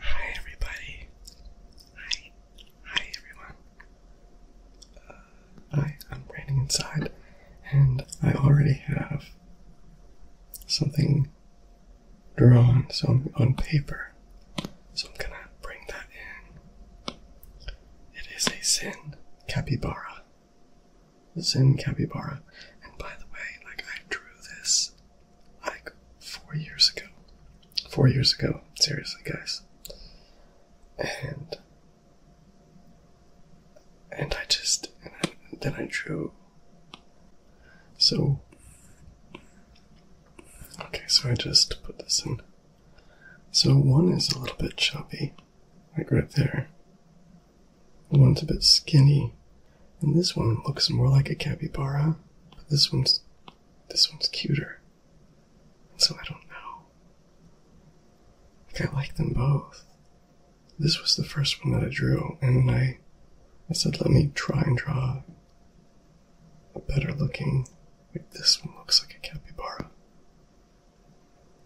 Hi everybody. Hi. Hi everyone. Uh, hi, I'm Brandon inside, and I already have something drawn on paper. So I'm gonna bring that in. It is a Zen capybara. Zen capybara. And by the way, like I drew this like four years ago. Four years ago, seriously, guys. And and I just and then I drew. So okay, so I just put this in. So one is a little bit chubby, like right there. One's a bit skinny, and this one looks more like a capybara, but this one's this one's cuter. And so I don't know. Like I like them both. This was the first one that I drew, and I I said let me try and draw a better looking like this one looks like a capybara.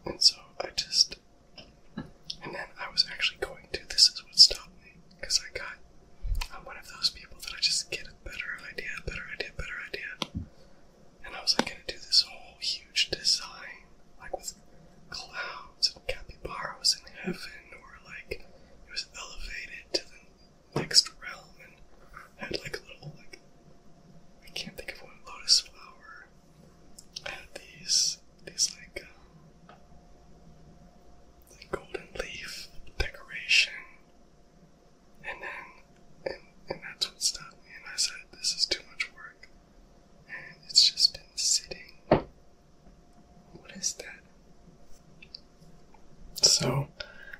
And so I just and then I was actually going to this is what stopped me. Because I got, I'm one of those people that I just get a better idea, better idea, better idea. And I was like gonna do this whole huge design, like with clouds and capybaras in heaven, or like it was elevated to the next realm and had like a little like I can't think of one lotus flower. had these these like um, the golden leaf decoration, and then and and that's what stopped me. And I said, "This is too much work," and it's just been sitting. What is that? So,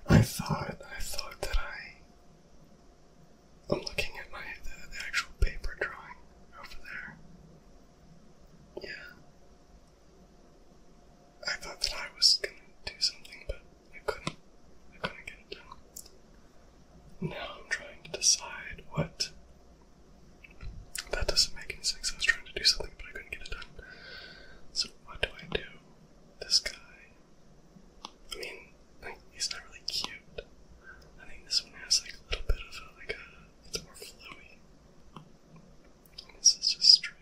I thought I thought that I. I'm looking at my the actual paper drawing over there. Yeah. I thought that I was gonna do something, but I couldn't. I couldn't get it done. Now I'm trying to decide what. That doesn't make any sense. I was trying to do something, but I couldn't get it done. So what do I do? This guy. I mean, he's not really cute. I think this one has like a little bit of a, like a. It's more flowy. This is just straight.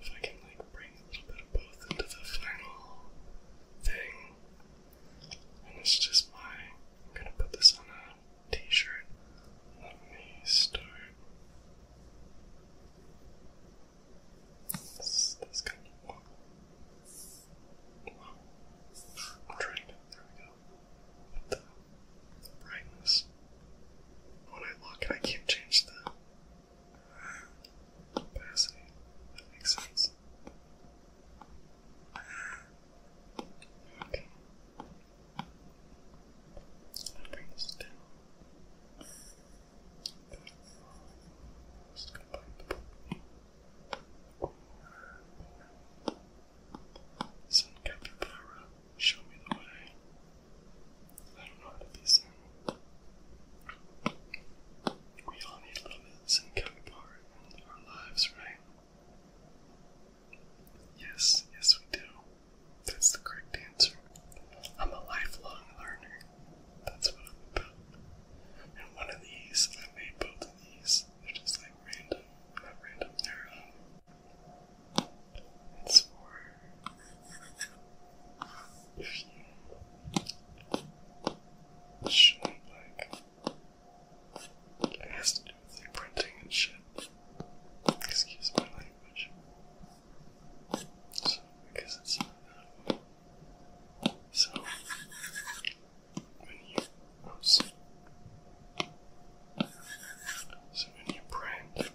If I can like bring a little bit of both into the final thing, and it's just my. I'm gonna put this on a t-shirt. Let me start. This, this kind of I'm trying to. There we go brightness. When I look, I can't change the opacity. That makes sense. Okay. i Just gonna bite the book. Sun show me the way. I don't know how to be sound. We all need a little bit of some kind of power our lives, right? Yes, yes, we do. That's the correct answer. I'm a lifelong learner. That's what I'm about. And one of these, I made both of these. They're just like random, random, it's for if you shouldn't it has to do with printing and shit. Excuse my language. So because it's So when you So when you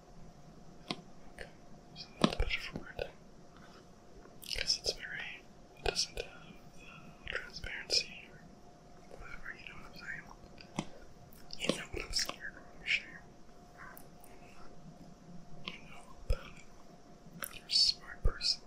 Okay, so a better for wording. Because it's very, doesn't have the transparency whatever, you know what I'm saying? You know what I'm saying, You know You're a smart person.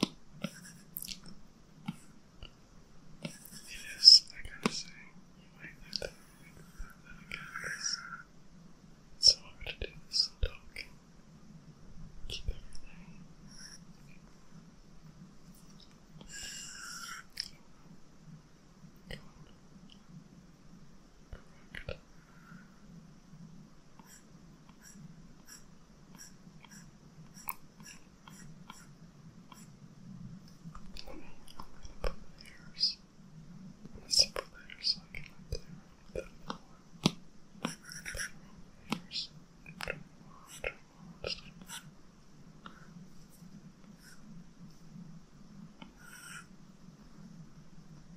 It is, I gotta say, wait, I thought we could have that again. It's, it's so hard to do this and talk. Keep everything. I'm gonna put layers. I'm gonna set layers so I can play around with that more. I'm gonna put layers. I don't want, I don't want, I don't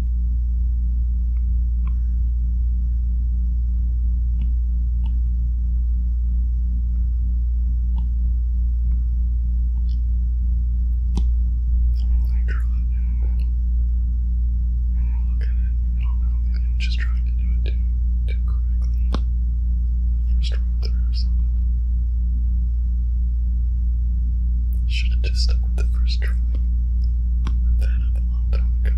Like draw it and then, and then look at it. I don't know, maybe I'm just trying to do it too, too correctly. First run through or something. Should have just stuck with the first try. Put that up a long time ago.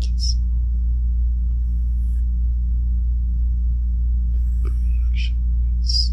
Yes. reaction is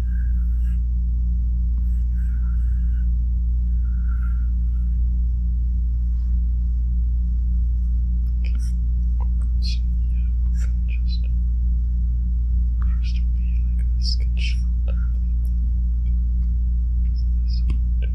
Okay. So yeah, we can just first will be like a sketch out this window. Okay.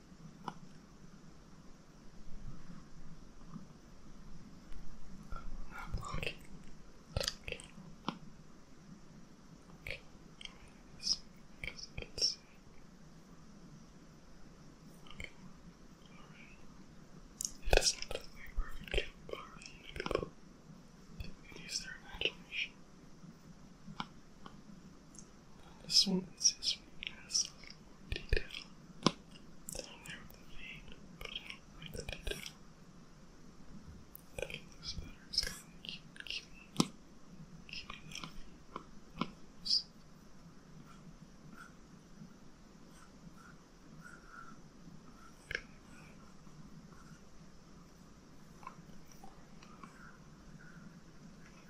Okay. Okay. not look like perfect camp or people. They their imagination. This one is his weakness. Detail. Down there with the vein, but I like the detail. That looks better. It's keep, keep, keep it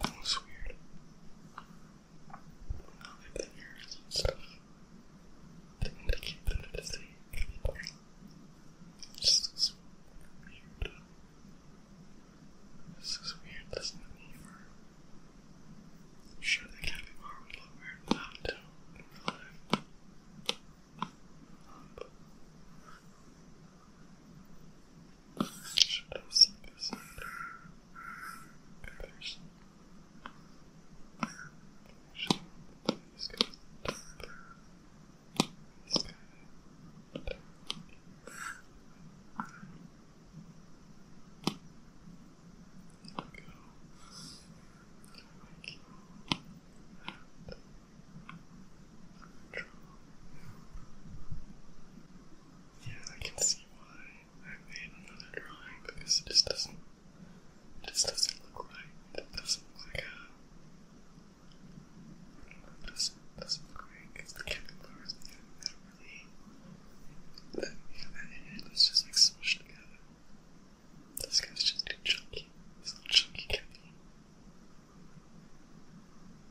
That was weird. I'll and stuff to indicate that it is a cable. Just weird. This is weird, this not me for I'm sure the weird without it should I see this comparison? Should I this guy? This guy? There we go. Like and control. Yeah, I can see why I made another drawing because it just doesn't it just doesn't look right. It doesn't look like a it doesn't it doesn't look right because the caterpillars that really that yeah, that head is just like smushed together. This guy's just too chunky. This little chunky caterpillar.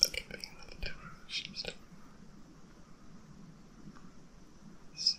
That could be another different story. So,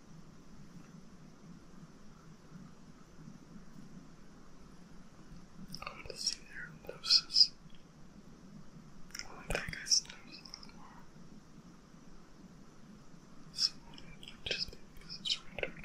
I'm um, oh just seeing their noses. I like that guy's nose a more. So just because it's rendered.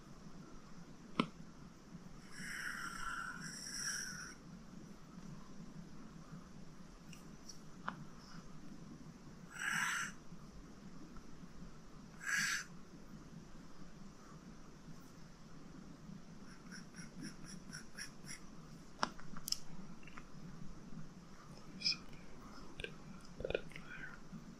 Something to that player.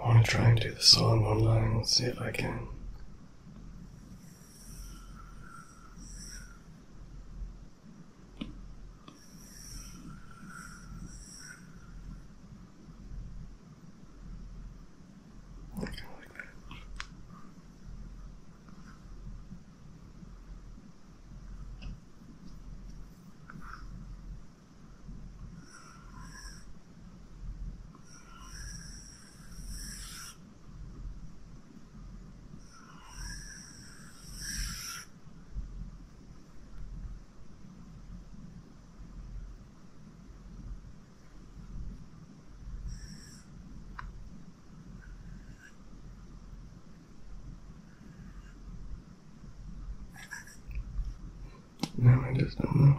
I want to try and do the song online and see if I can. I kind of like that. Now I just don't know.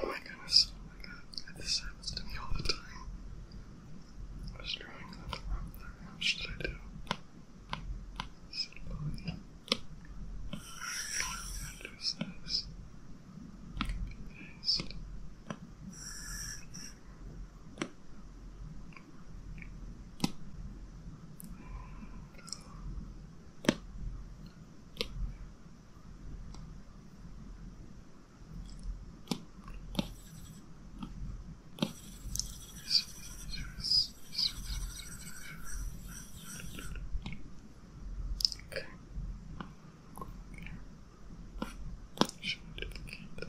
Oh my goodness, oh my god, this happens to me all the time. I was drawing something wrong What should I do? supply consciousness is Okay. Should we duplicate that?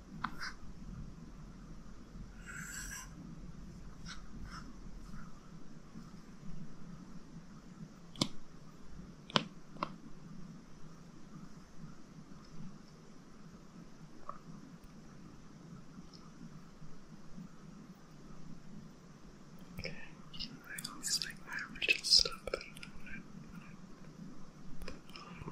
Okay, so I always like my original stuff better than what I,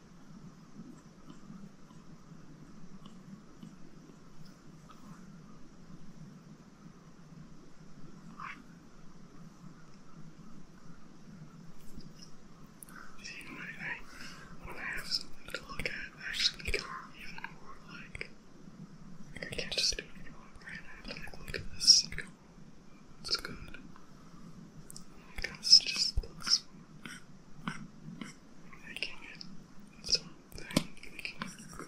You I, I, when have something to look at, actually even more like, I can't just do it anymore. Right? I like, look at this it's good. It's just making it its own making it good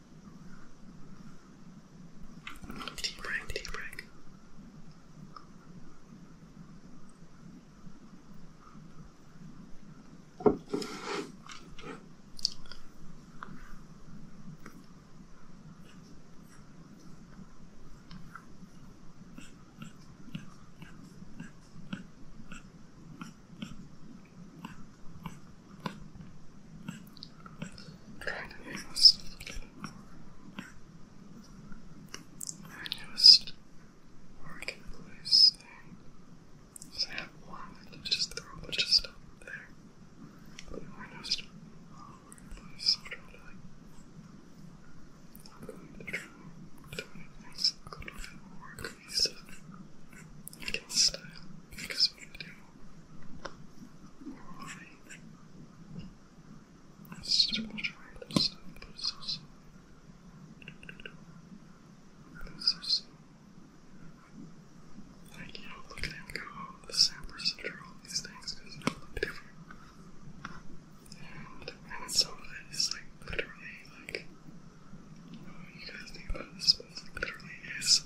Deep breath, deep breath trying to make my newest working place thing is I have one just throw a bunch there. my newest working place, I'm trying to like, I'm going to try doing things that could feel more because we can do oral faith. Let's just watch our lips and lose us. Lose us. Like, you know, look at him go, oh, the sampers that are all these things because they all look different. And, and some of it is like literally like, you oh, know, you guys think about this, but it's like literally is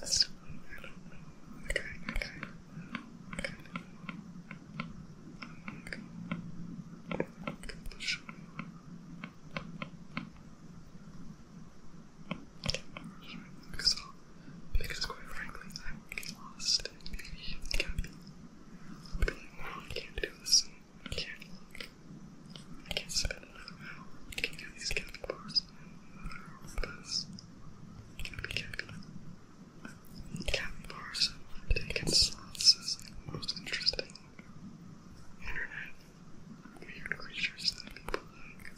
So, I don't know. Okay, okay. Okay. Okay. Okay, Because, because quite frankly, I would get lost i can't do this. I can't we you get these camping bars. Because camping, camping, camping most interesting internet weird creatures that people like.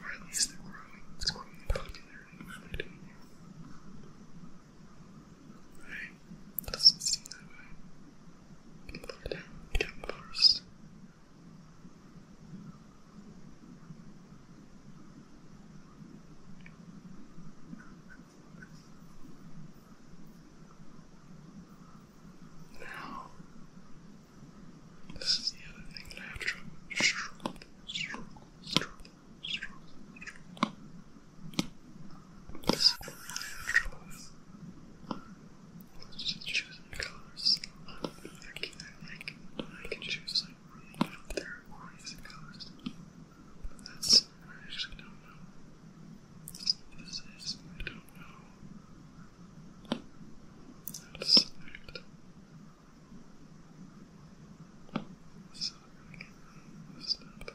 Or at least they're growing, it's growing popular and really Right? Doesn't seem that way. People now, this is the other thing that I have I, can, choose like really out there amazing colors. But that's I actually don't know. What this is I don't know. How to So I can this up.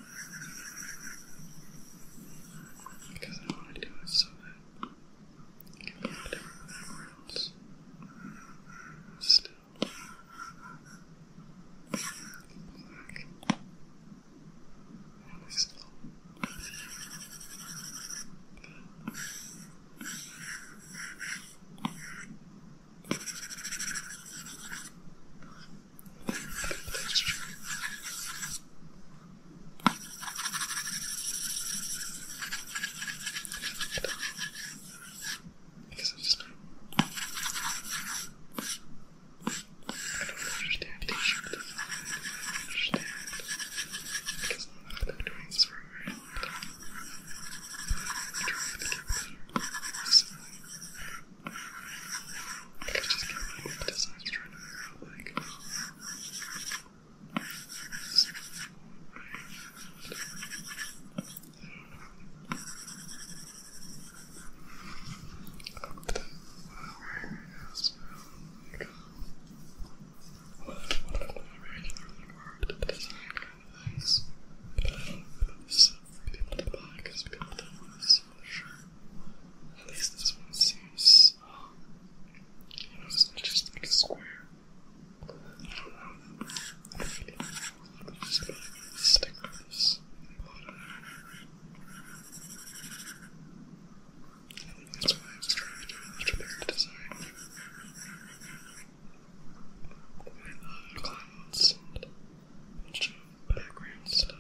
Because I want to do it so that I can put it everywhere else. Still. Black. And still. But I I guess I'm just not. I don't understand. They should have I understand. Because I've been doing this for a very long time. I'm trying to get better. So, I just can't really emphasize trying to figure out, like, this I do to flower, yes, like, what if, what if my regularly marked design kind of I do to buy because people pleasure. At least this one seems, just like a square. I don't know. I feel like there's probably going to stick that's why I was trying to do a design. clouds background stuff.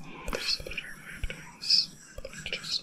Oh, this is a better way of doing this, but I just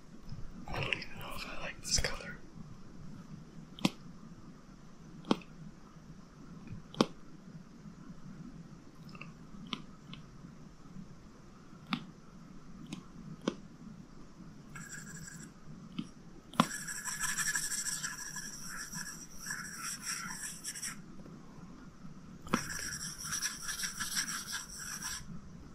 I don't even know if I like this color.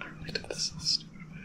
I really did this stupid way.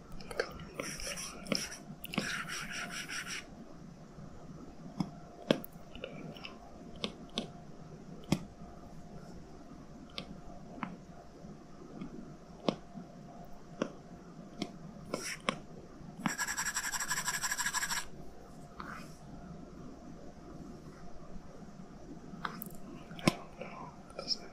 I don't know, does it?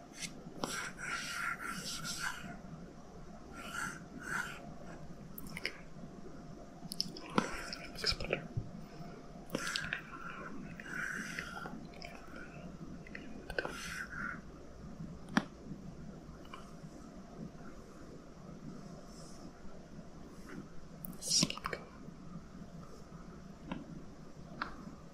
Looks better. Good. Let's keep going.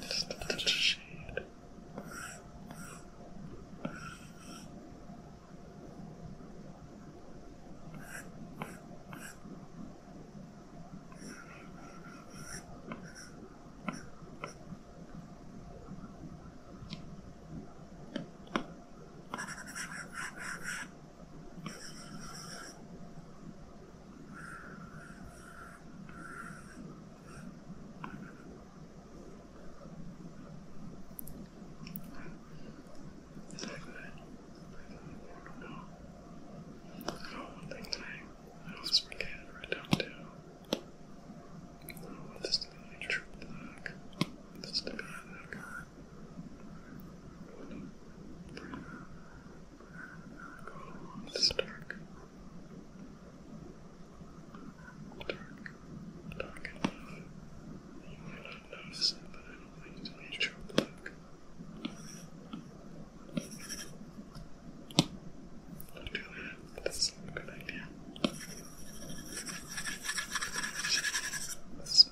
Just a touch of shade one thing that I, I always forget or I don't do. I don't want this to be a trip block. I want this to be a it's dark. Dark. Dark enough. You might not notice it, but I don't think it's major black. not do that. That's not a good idea.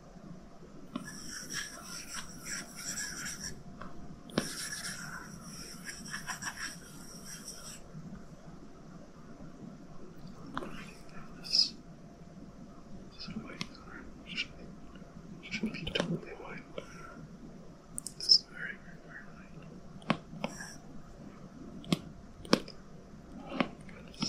There's, there's no way. Should, should be totally white. This is very, very, very light. Oh, goodness.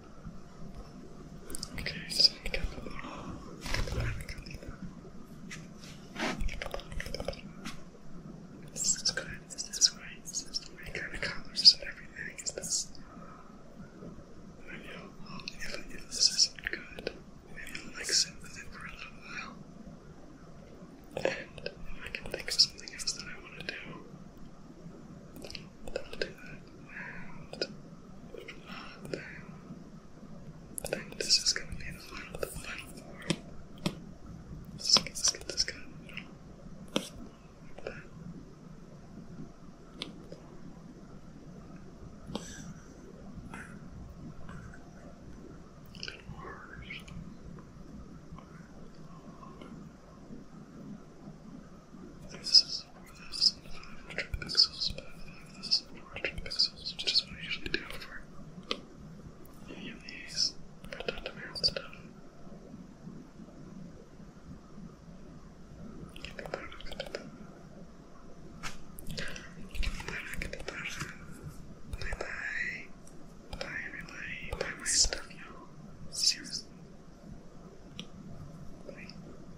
Okay, so I got the This is good, this is right, this is the right kind of colors and everything. this? I'll, if, this isn't good, maybe I'll like sit with it for a little while. And if I can think of something else that I want to do, I'll do that. I think this is gonna be the final, the final form. Let's get, this guy 100 pixels by 5,400 pixels, which is what I usually do for any of these pretend stuff. Give me better, give me better. Give me better, give me better. Bye bye. Bye everybody. Bye my stuff, y'all. Seriously. Bye.